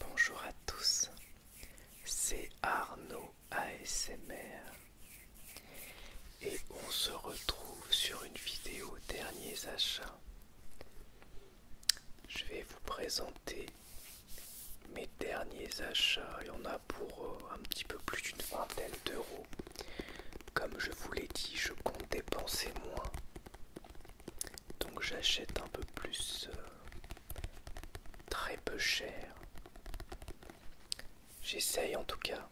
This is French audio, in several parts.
Bonjour à tous, c'est Arnaud ASMR et on se retrouve sur une vidéo derniers achats. Je vais vous présenter mes derniers achats, il y en a pour euh, un petit peu plus d'une vingtaine d'euros. Comme je vous l'ai dit, je compte dépenser moins. Donc j'achète un peu plus euh, très peu cher. J'essaye en tout cas.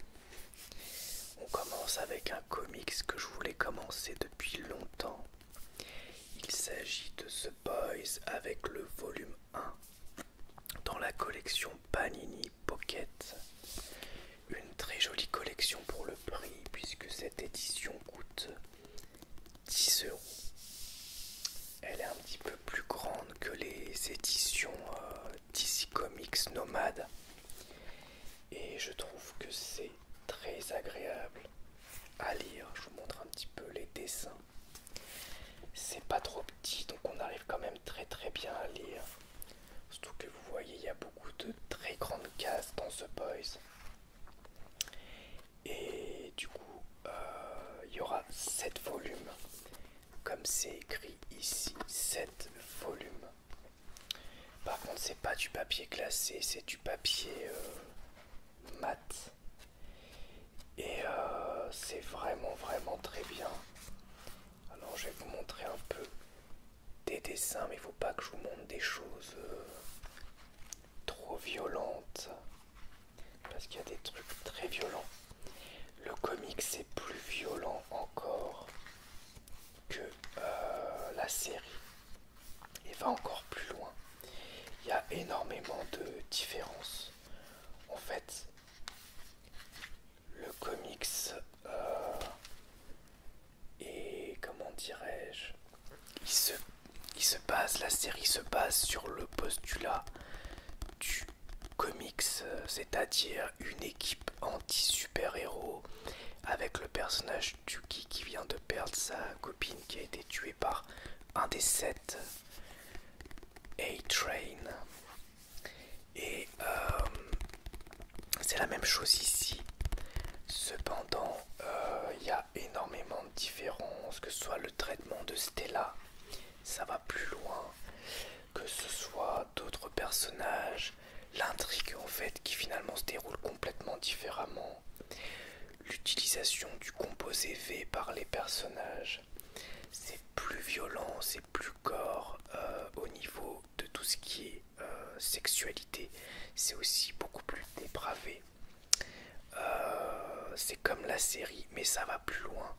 On commence avec un comics que je voulais commencer depuis longtemps. Il s'agit de The Boys avec le volume dans la collection Panini Pocket. Une très jolie collection pour le prix puisque cette édition coûte 10 euros. Elle est un petit peu plus grande que les éditions euh, DC Comics Nomade et je trouve que c'est très agréable à lire. Je vous montre un petit peu les dessins. C'est pas trop petit, donc on arrive quand même très très bien à lire. Surtout que vous voyez, il y a beaucoup de très grandes cases dans ce Boys. Et du coup, euh, il y aura 7 volumes. Comme c'est écrit ici, 7 volumes. Par contre, c'est pas du papier classé, c'est du papier euh, mat et euh, c'est vraiment vraiment très bien. Alors je vais vous montrer un peu des dessins, mais il faut pas que je vous montre des choses euh, trop violentes parce qu'il y a des trucs très violents. Le comic c'est plus violent encore que euh, la série et va encore plus loin. Il y a énormément de différences. En fait, le comics euh, est comment dirais-je, se, la série se base sur le postulat du comics, euh, c'est-à-dire une équipe anti-super-héros avec le personnage Tuki qui vient de perdre sa copine qui a été tuée par un des sept a-Train. Et euh, c'est la même chose ici. Cependant, euh, il y a énormément de différences, que ce soit le traitement de Stella, ça va plus loin, que ce soit d'autres personnages, l'intrigue en fait qui finalement se déroule complètement différemment l'utilisation du composé V par les personnages. C'est plus violent, c'est plus corps euh, au niveau de tout ce qui est euh, sexualité. C'est aussi beaucoup plus dépravé. Euh, c'est comme la série, mais ça va plus loin.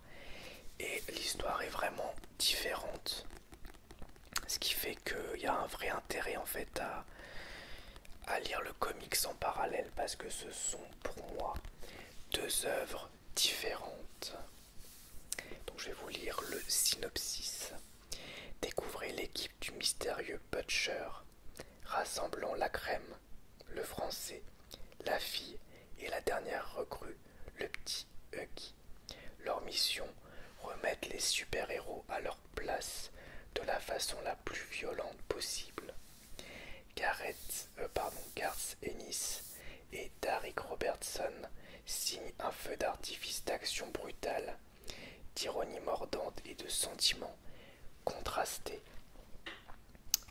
Et l'histoire est vraiment différente. Ce qui fait qu'il y a un vrai intérêt en fait à, à lire le comics en parallèle parce que ce sont pour moi deux œuvres différentes. dont je vais vous lire le synopsis. Découvrez l'équipe du mystérieux Butcher, rassemblant la crème, le français, la fille et la dernière recrue, le petit Huggy. Leur mission, remettre les super-héros à leur place de la façon la plus violente possible. Gareth, euh, pardon, Garth Ennis et Darek Robertson signent un feu d'artifice d'action brutale, d'ironie mordante et de sentiments contrastés.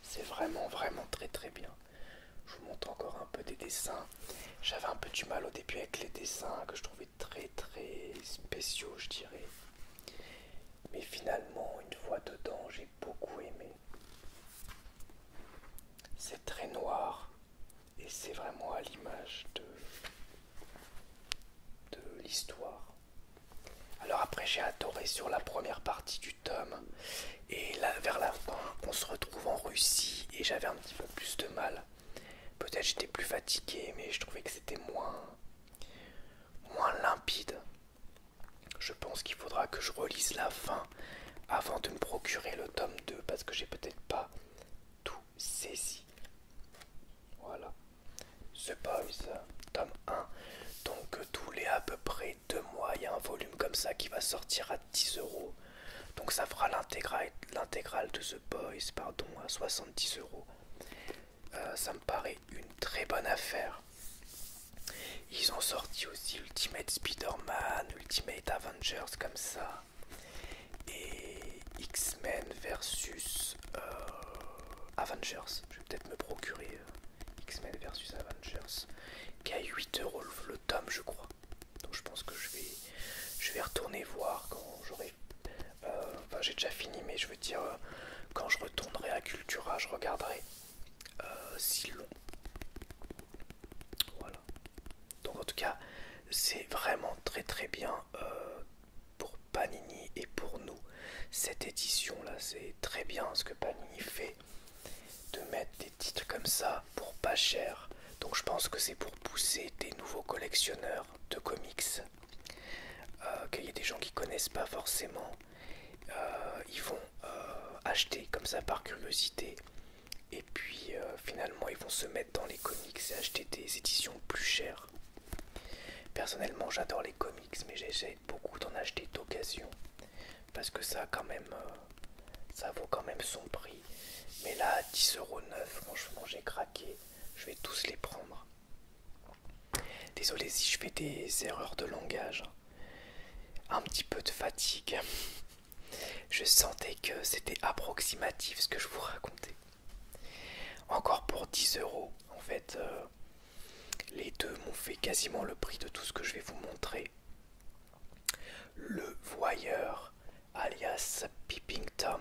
C'est vraiment, vraiment très, très bien. Je vous montre encore un peu des dessins. J'avais un peu du mal au début avec les dessins que je trouvais très, très spéciaux, je dirais. Mais finalement, une fois dedans, j'ai beaucoup aimé c'est très noir et c'est vraiment à l'image de, de l'histoire. Alors après j'ai adoré sur la première partie du tome et là vers la fin on se retrouve en Russie et j'avais un petit peu plus de mal. Peut-être j'étais plus fatigué mais je trouvais que c'était moins moins limpide. Je pense qu'il faudra que je relise la fin avant de me procurer le tome 2 parce que j'ai peut-être pas tout saisi. Voilà. The Boys, tome 1. Donc euh, tous les à peu près deux mois, il y a un volume comme ça qui va sortir à 10 euros. Donc ça fera l'intégrale de The Boys, pardon, à 70 euros. Euh, ça me paraît une très bonne affaire. Ils ont sorti aussi Ultimate Spider-Man, Ultimate Avengers comme ça. Et X-Men versus euh, Avengers. Je vais peut-être me procurer euh, X-Men versus Avengers. Qui a 8 euros le tome je crois. Donc je pense que je vais, je vais retourner voir quand j'aurai... Euh, enfin j'ai déjà fini mais je veux dire quand je retournerai à Cultura je regarderai euh, si long. Voilà. Donc en tout cas, c'est vraiment très très bien euh, pour Panini et pour nous. Cette édition là, c'est très bien ce que Panini fait de mettre des titres comme ça pour pas cher. Donc je pense que c'est pour pousser des nouveaux collectionneurs de comics. Euh, qu'il y ait des gens qui connaissent pas forcément. ils vont euh, acheter comme ça par curiosité. Et puis euh, finalement, ils vont se mettre dans les comics et acheter des éditions plus chères. Personnellement, j'adore les comics, mais j'essaie beaucoup d'en acheter d'occasion parce que ça, quand même, euh, ça vaut quand même son prix. Mais là, 10,9€, franchement, j'ai craqué. Je vais tous les prendre. Désolé si je fais des erreurs de langage un petit peu de fatigue. Je sentais que c'était approximatif ce que je vous racontais. Encore pour 10 euros, en fait, euh, les deux m'ont fait quasiment le prix de tout ce que je vais vous montrer. Le voyeur, alias Peeping Tom,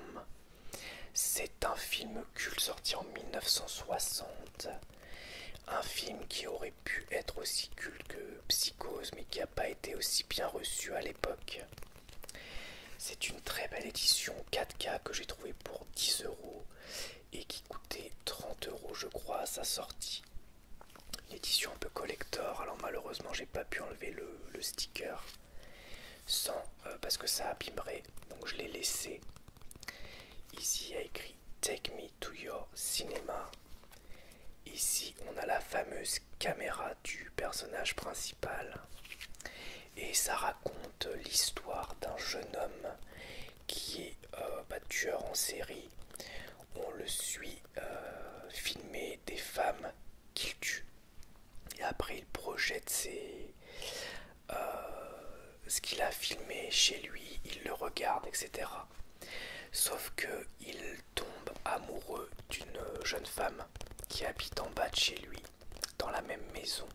c'est un film culte sorti en 1960. Un film qui aurait pu être aussi culte que Psychose, mais qui n'a pas été aussi bien reçu à l'époque. C'est une très belle édition 4K que j'ai trouvé pour 10 euros et qui coûtait 30 euros, je crois, à sa sortie. L'édition édition un peu collector, alors malheureusement, j'ai pas pu enlever le, sticker sans euh, parce que ça abîmerait, donc je l'ai laissé. Ici, il a écrit Take me to your cinema. Ici, on a la fameuse caméra du personnage principal. Et ça raconte l'histoire d'un jeune homme qui est euh, bah, tueur en série. On le suit euh, filmer des femmes qu'il tue. Et après, il projette euh, ce qu'il a filmé chez lui, il le regarde, etc. Sauf que il tombe amoureux d'une jeune femme qui habite en bas de chez lui, dans la même maison.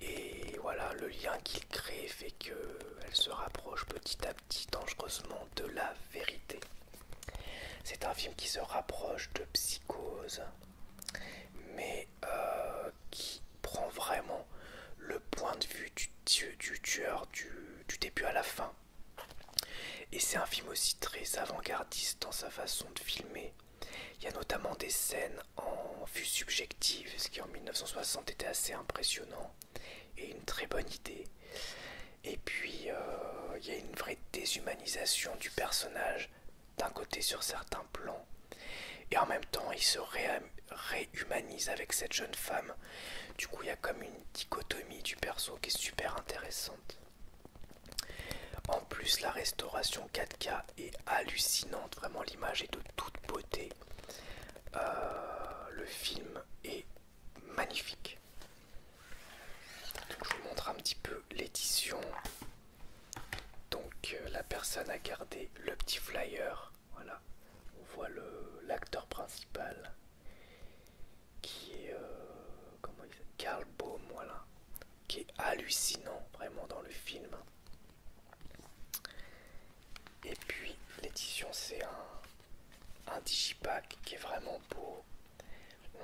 Et voilà, le lien qu'il crée fait qu'elle se rapproche petit à petit dangereusement de la vérité. C'est un film qui se rapproche de psychose, mais euh, qui prend vraiment le point de vue du du, tueur du, début à la fin. Et c'est un film aussi très avant-gardiste dans sa façon de filmer. Il y a notamment des scènes en vue subjective, ce qui en 1960 était assez impressionnant et une très bonne idée. Et puis euh, il y a une vraie déshumanisation du personnage d'un côté sur certains plans. Et en même temps, il se, réhumanise avec cette jeune femme. Du coup, il y a comme une dichotomie du perso qui est super intéressante. En plus, la restauration 4K est hallucinante. Vraiment, l'image est de toute beauté. Euh, le film est magnifique. je vous montre un petit peu l'édition. Donc, euh, la personne a gardé le petit flyer voilà, on voit l'acteur principal qui est euh, comment il s'appelle Karl Baum, voilà, qui est hallucinant vraiment dans le film. Et puis l'édition c'est un, un digipack qui est vraiment beau.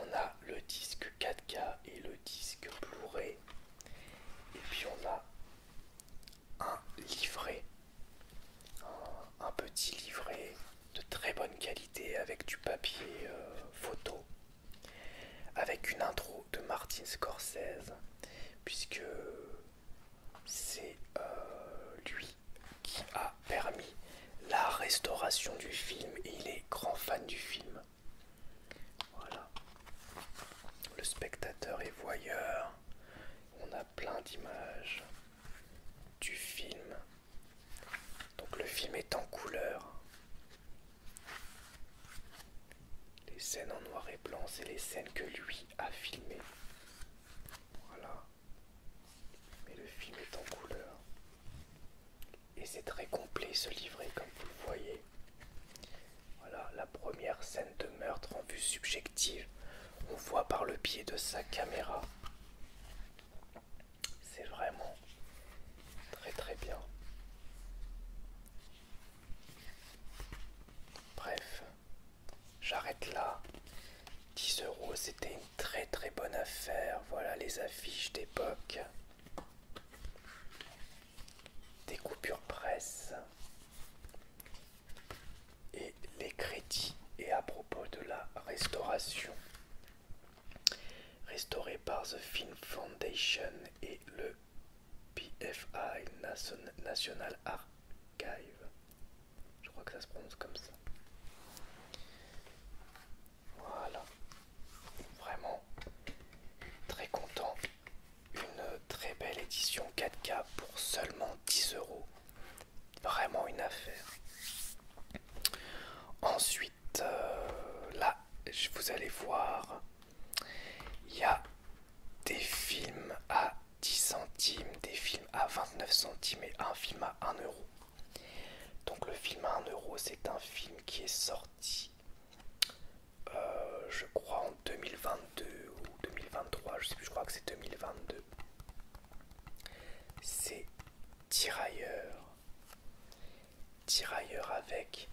On a le disque 4K et le disque Blu-ray. Et puis on a un livret, un, petit livret de très bonne qualité avec du papier euh, photo, avec une intro de Martin Scorsese, puisque c'est euh, lui qui a permis la restauration du film et il est grand fan du film. Voilà. Le spectateur est voyeur. On a plein d'images du film. Donc le film est en couleur. Les scènes en noir et blanc, c'est les scènes que lui a filmées. Voilà. Mais le film est en couleur. Et c'est très complet ce livret, comme vous le voyez. Voilà, la première scène de meurtre en vue subjective on voit par le pied de sa caméra. C'est vraiment très très bien. Bref, j'arrête là. 10 euros, c'était une très très bonne affaire. Voilà les affiches d'époque. Des coupures presse et les crédits. Et à propos de la restauration, restaurée par The Film Foundation et le PFI National Archive. Je crois que ça se prononce comme ça. Voilà. Vraiment très content. Une très belle édition 4K pour seulement 10 euros. Vraiment une affaire. Ensuite, euh, là, vous allez voir, il y a des films à 10 centimes, des films à 29 centimes et un film à 1 euro. Donc le film à 1 euro, c'est un film qui est sorti, euh, je crois, en 2022 ou 2023, je sais plus, je crois que c'est 2022 c'est tirailleurs. Tirailleurs avec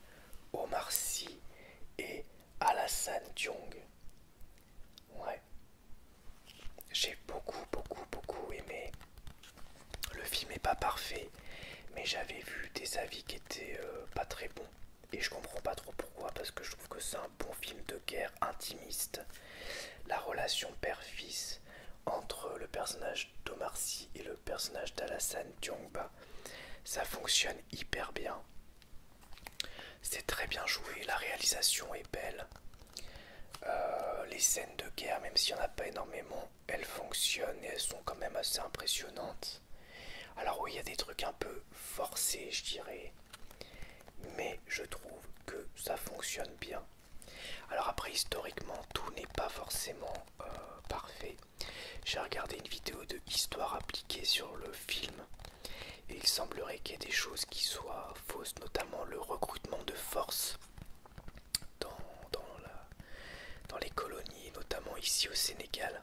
Omar Sy et Alassane Jong. Ouais. J'ai beaucoup, beaucoup, beaucoup aimé. Le film n'est pas parfait, mais j'avais vu des avis qui étaient euh, pas très bons. Et je comprends pas trop pourquoi, parce que je trouve que c'est un bon film de guerre intimiste. La relation père-fils entre le personnage d'Omarcy et le personnage d'Alassane Diongba, ça fonctionne hyper bien. C'est très bien joué, la réalisation est belle. Euh, les scènes de guerre, même s'il n'y en a pas énormément, elles fonctionnent et elles sont quand même assez impressionnantes. Alors oui, il y a des trucs un peu forcés, je dirais mais je trouve que ça fonctionne bien. Alors après historiquement tout n'est pas forcément euh, parfait. J'ai regardé une vidéo de histoire appliquée sur le film et il semblerait qu'il y ait des choses qui soient fausses, notamment le recrutement de force dans, dans les colonies, notamment ici au Sénégal.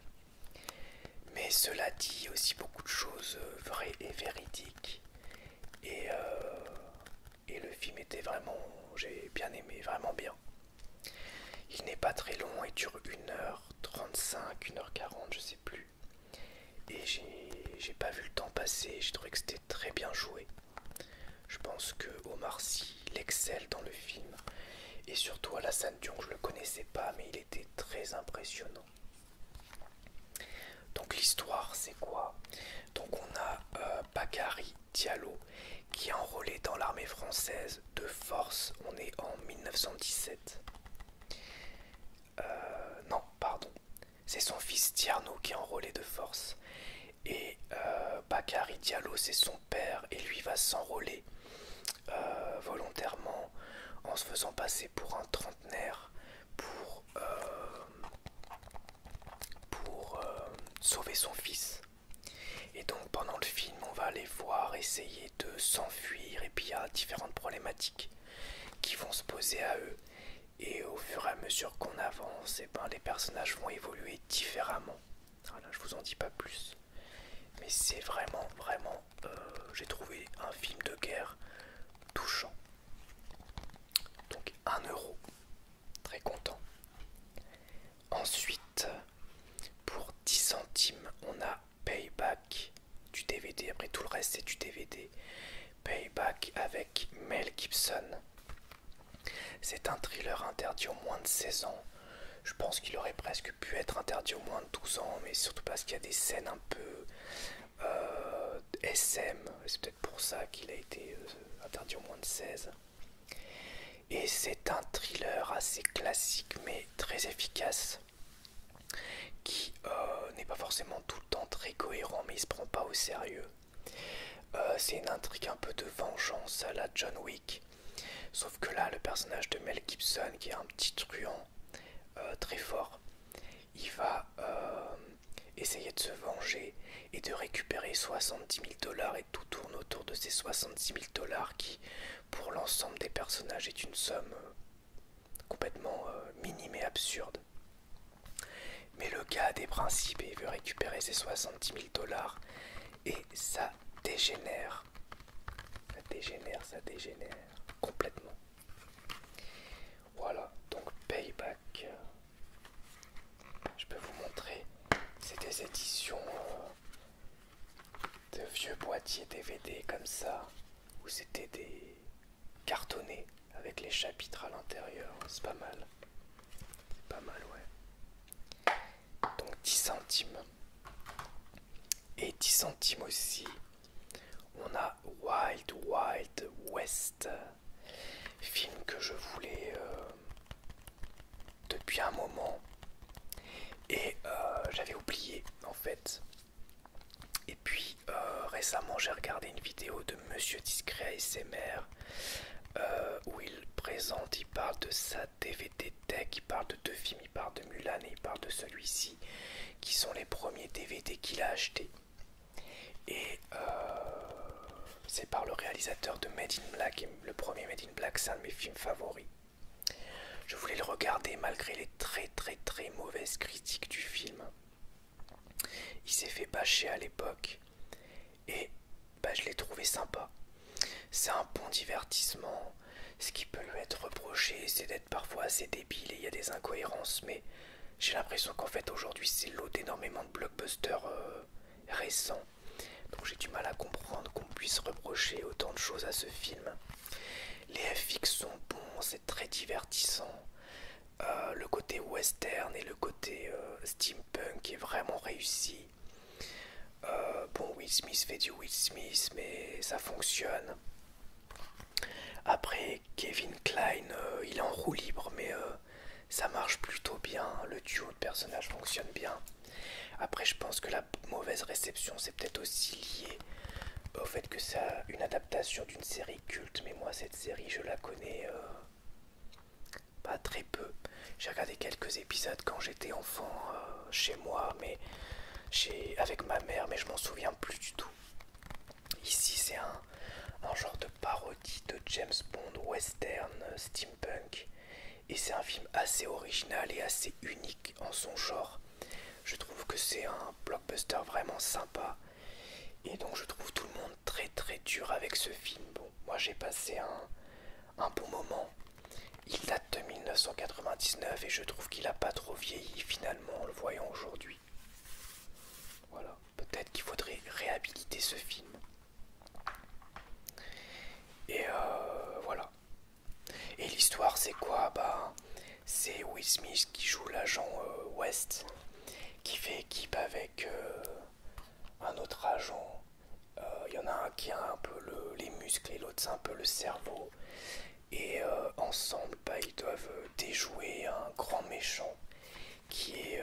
Mais cela dit aussi beaucoup de choses euh, vraies et véridiques. Euh, et, le film était vraiment, j'ai bien aimé, vraiment bien. Il n'est pas très long, il dure 1h35, 1h40, je sais plus. Et j'ai pas vu le temps passer, j'ai trouvé que c'était très bien joué. Je pense que Omar Sy l'excelle dans le film. Et surtout Alassane la scène Dion, je le connaissais pas, mais il était très impressionnant. Donc l'histoire c'est quoi Donc on a euh, Bakary Diallo qui est enrôlé dans l'armée française de force. On est en 1917. Euh, non, pardon. C'est son fils Tierno qui est enrôlé de force. Et euh, Bakary Diallo, c'est son père, et lui va s'enrôler volontairement en se faisant passer pour un trentenaire pour pour euh, sauver son fils. Et donc pendant le film, on va les voir essayer de s'enfuir et puis il y a différentes problématiques qui vont se poser à eux. Et au fur et à mesure qu'on avance, eh ben, les personnages vont évoluer différemment. Voilà, ah je vous en dis pas plus. Mais c'est vraiment, vraiment, euh, j'ai trouvé un film de guerre touchant. Donc 1 euro. Très content. Ensuite, pour 10 centimes, on a Payback du DVD. Après tout le reste, c'est du DVD. Payback avec Mel Gibson. C'est un thriller interdit aux moins de 16 ans. Je pense qu'il aurait presque pu être interdit aux moins de 12 ans, mais surtout parce qu'il y a des scènes un peu euh, SM, c'est peut-être pour ça qu'il a été euh, interdit au moins de 16. Et c'est un thriller assez classique mais très efficace qui euh, n'est pas forcément tout le temps très cohérent mais il se prend pas au sérieux. c'est une intrigue un peu de vengeance à la John Wick. Sauf que là, le personnage de Mel Gibson, qui est un petit truand très fort, il va euh, essayer de se venger et de récupérer 70 000 dollars et tout tourne autour de ces 70 000 dollars qui pour l'ensemble des personnages est une somme euh, complètement euh, minime et absurde. Mais le gars a des principes et veut récupérer ses 70 000 dollars et ça dégénère. Ça dégénère, ça dégénère complètement. Voilà, donc Payback. Je peux vous montrer. C'est des éditions euh, de vieux boîtiers DVD comme ça, où c'était des cartonnés avec les chapitres à l'intérieur. C'est pas mal. C'est pas mal, ouais. Donc 10 centimes. Et 10 centimes aussi. On a Wild Wild West euh, film que je voulais euh, depuis un moment et euh, j'avais oublié en fait. Et puis récemment j'ai regardé une vidéo de Monsieur Discret ASMR mères où il présente, il parle de sa DVD tech, il parle de deux films, il parle de Mulan et il parle de celui-ci qui sont les premiers DVD qu'il a acheté et euh, c'est par le réalisateur de Made in Black, le premier Made in Black, c'est un de mes films favoris. Je voulais le regarder malgré les très très très mauvaises critiques du film. Il s'est fait bâcher à l'époque et bah, je l'ai trouvé sympa. C'est un bon divertissement. Ce qui peut lui être reproché, c'est d'être parfois assez débile et il y a des incohérences, mais j'ai l'impression qu'en fait aujourd'hui c'est l'eau énormément blockbuster euh, récent Donc j'ai du mal à comprendre qu'on puisse reprocher autant de choses à ce film. Les FX sont bons, c'est très divertissant. Euh, le côté western et le côté euh, steampunk est vraiment réussi. bon, Will Smith fait du Will Smith, mais ça fonctionne. Après, Kevin Klein, il est en roue libre, mais ça marche plutôt bien, le duo de personnages fonctionne bien. Après, je pense que la mauvaise réception, c'est peut-être aussi lié au fait que c'est une adaptation d'une série culte, mais moi, cette série, je la connais euh, pas très peu. J'ai regardé quelques épisodes quand j'étais enfant euh, chez moi, mais avec ma mère, mais je m'en souviens plus du tout. Ici, c'est un, genre de parodie de James Bond western euh, steampunk. Et c'est un film assez original et assez unique en son genre. Je trouve que c'est un blockbuster vraiment sympa. Et donc je trouve tout le monde très très dur avec ce film. Bon, moi j'ai passé un, un bon moment. Il date de 1999 et je trouve qu'il a pas trop vieilli finalement en le voyant aujourd'hui. Voilà peut-être qu'il faudrait réhabiliter ce film. Et euh, voilà. Et l'histoire, c'est quoi Bah, c'est Will Smith qui joue l'agent euh, West, qui fait équipe avec euh, un autre agent. Il y en a un qui a un peu les muscles et l'autre c'est un peu le cerveau. Et ensemble, ben, ils doivent déjouer un grand méchant qui est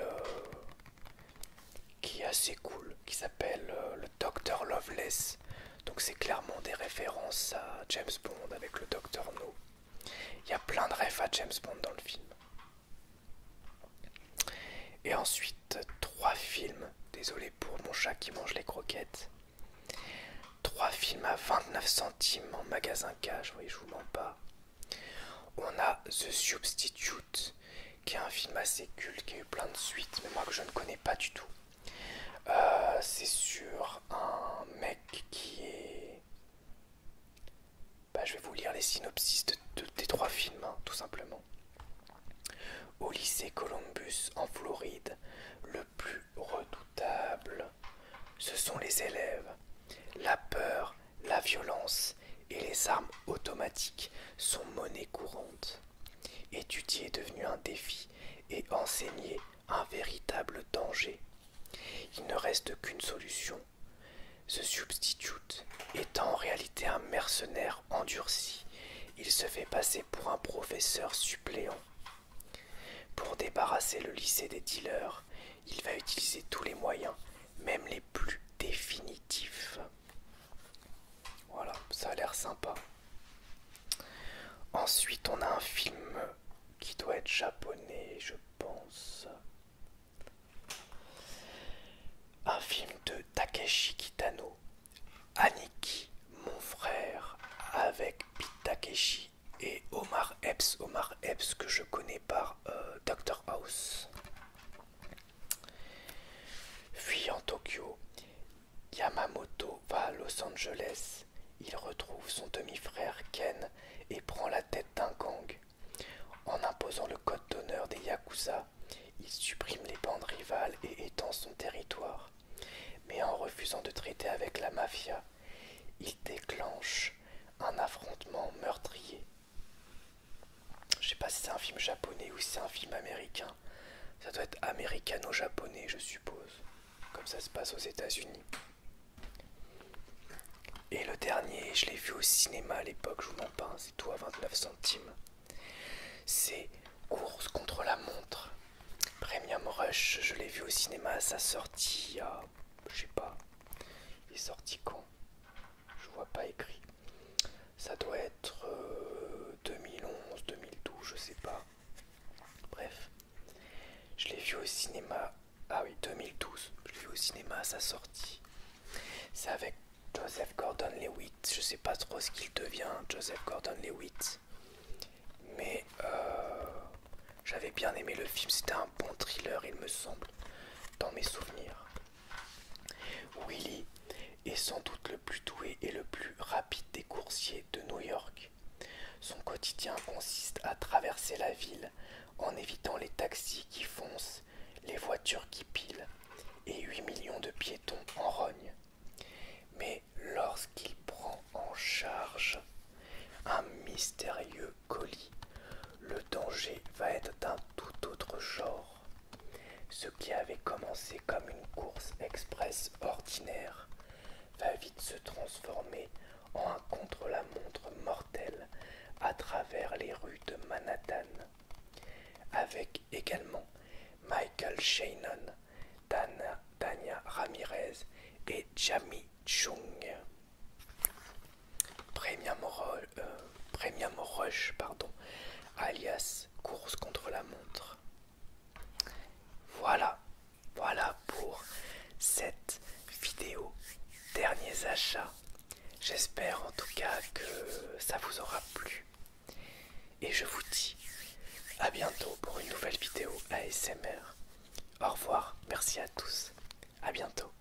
qui est assez cool, qui s'appelle euh, le Dr Loveless. Donc c'est clairement des références à James Bond avec le Docteur No. Il y a plein de rêves à James Bond dans le film. Et ensuite, trois films. Désolé pour mon chat qui mange les croquettes. Trois films à 29 centimes en magasin cash, oui, je vous mens pas. On a The Substitute, qui est un film assez culte, qui a eu plein de suites, mais moi que je ne connais pas du tout. Euh, c'est sur un mec qui est... Bah, je vais vous lire les synopsis de, des trois films, hein, tout simplement. Au lycée Columbus, en Floride, le plus redoutable, ce sont les élèves. La peur, la violence et les armes automatiques sont monnaie courante. Étudier est devenu un défi et enseigner un véritable danger. Il ne reste qu'une solution. Ce substitute étant en réalité un mercenaire endurci. Il se fait passer pour un professeur suppléant. Pour débarrasser le lycée des dealers, il va utiliser tous les moyens, même les plus définitif. Voilà, ça a l'air sympa. Ensuite, on a un film qui doit être japonais, je pense. Un film de Takeshi Kitano, Aniki, mon frère, avec Pete Takeshi et Omar Epps, Omar Epps que je connais par euh, Doctor Dr House. Fuyant Tokyo, Yamamoto va à Los Angeles. Il retrouve son demi-frère Ken et prend la tête d'un gang. En imposant le code d'honneur des Yakuza, il supprime les bandes rivales et étend son territoire. Mais en refusant de traiter avec la mafia, il déclenche un affrontement meurtrier je sais pas si c'est un film japonais ou si c'est un film américain. Ça doit être américano-japonais, je suppose. Comme ça se passe aux États-Unis. Et le dernier, je l'ai vu au cinéma à l'époque, je vous m'en pas, hein, c'est tout à 29 centimes. C'est Course contre la montre. Premium Rush, je l'ai vu au cinéma à sa sortie à. Je sais pas. Il est sorti quand je vois pas écrit. Ça doit être 2011, euh, 2012, je sais pas. Bref, je l'ai vu au cinéma. Ah oui, 2012. Je l'ai vu au cinéma à sa sortie. C'est avec Joseph Gordon-Lewitt. Je sais pas trop ce qu'il devient, Joseph Gordon-Lewitt. Mais euh, j'avais bien aimé le film. C'était un bon thriller, il me semble, dans mes souvenirs. Willy est sans doute le plus doué et le plus rapide des coursiers de New York. Son quotidien consiste à traverser la ville en évitant les taxis qui foncent, les voitures qui pilent et 8 millions de piétons en rogne. Mais lorsqu'il prend en charge un mystérieux colis, le danger va être d'un tout autre genre. Ce qui avait commencé comme une course express ordinaire va vite se transformer en un contre-la-montre mortel à travers les rues de Manhattan. Avec également Michael Shannon, Dana, Dania Ramirez et Jamie Chung. Euh, Premium, Rush, pardon, alias Course contre la montre. Voilà, voilà pour cette vidéo. Derniers achats. J'espère en tout cas que ça vous aura plu. Et je vous dis à bientôt pour une nouvelle vidéo ASMR. Au revoir, merci à tous. À bientôt.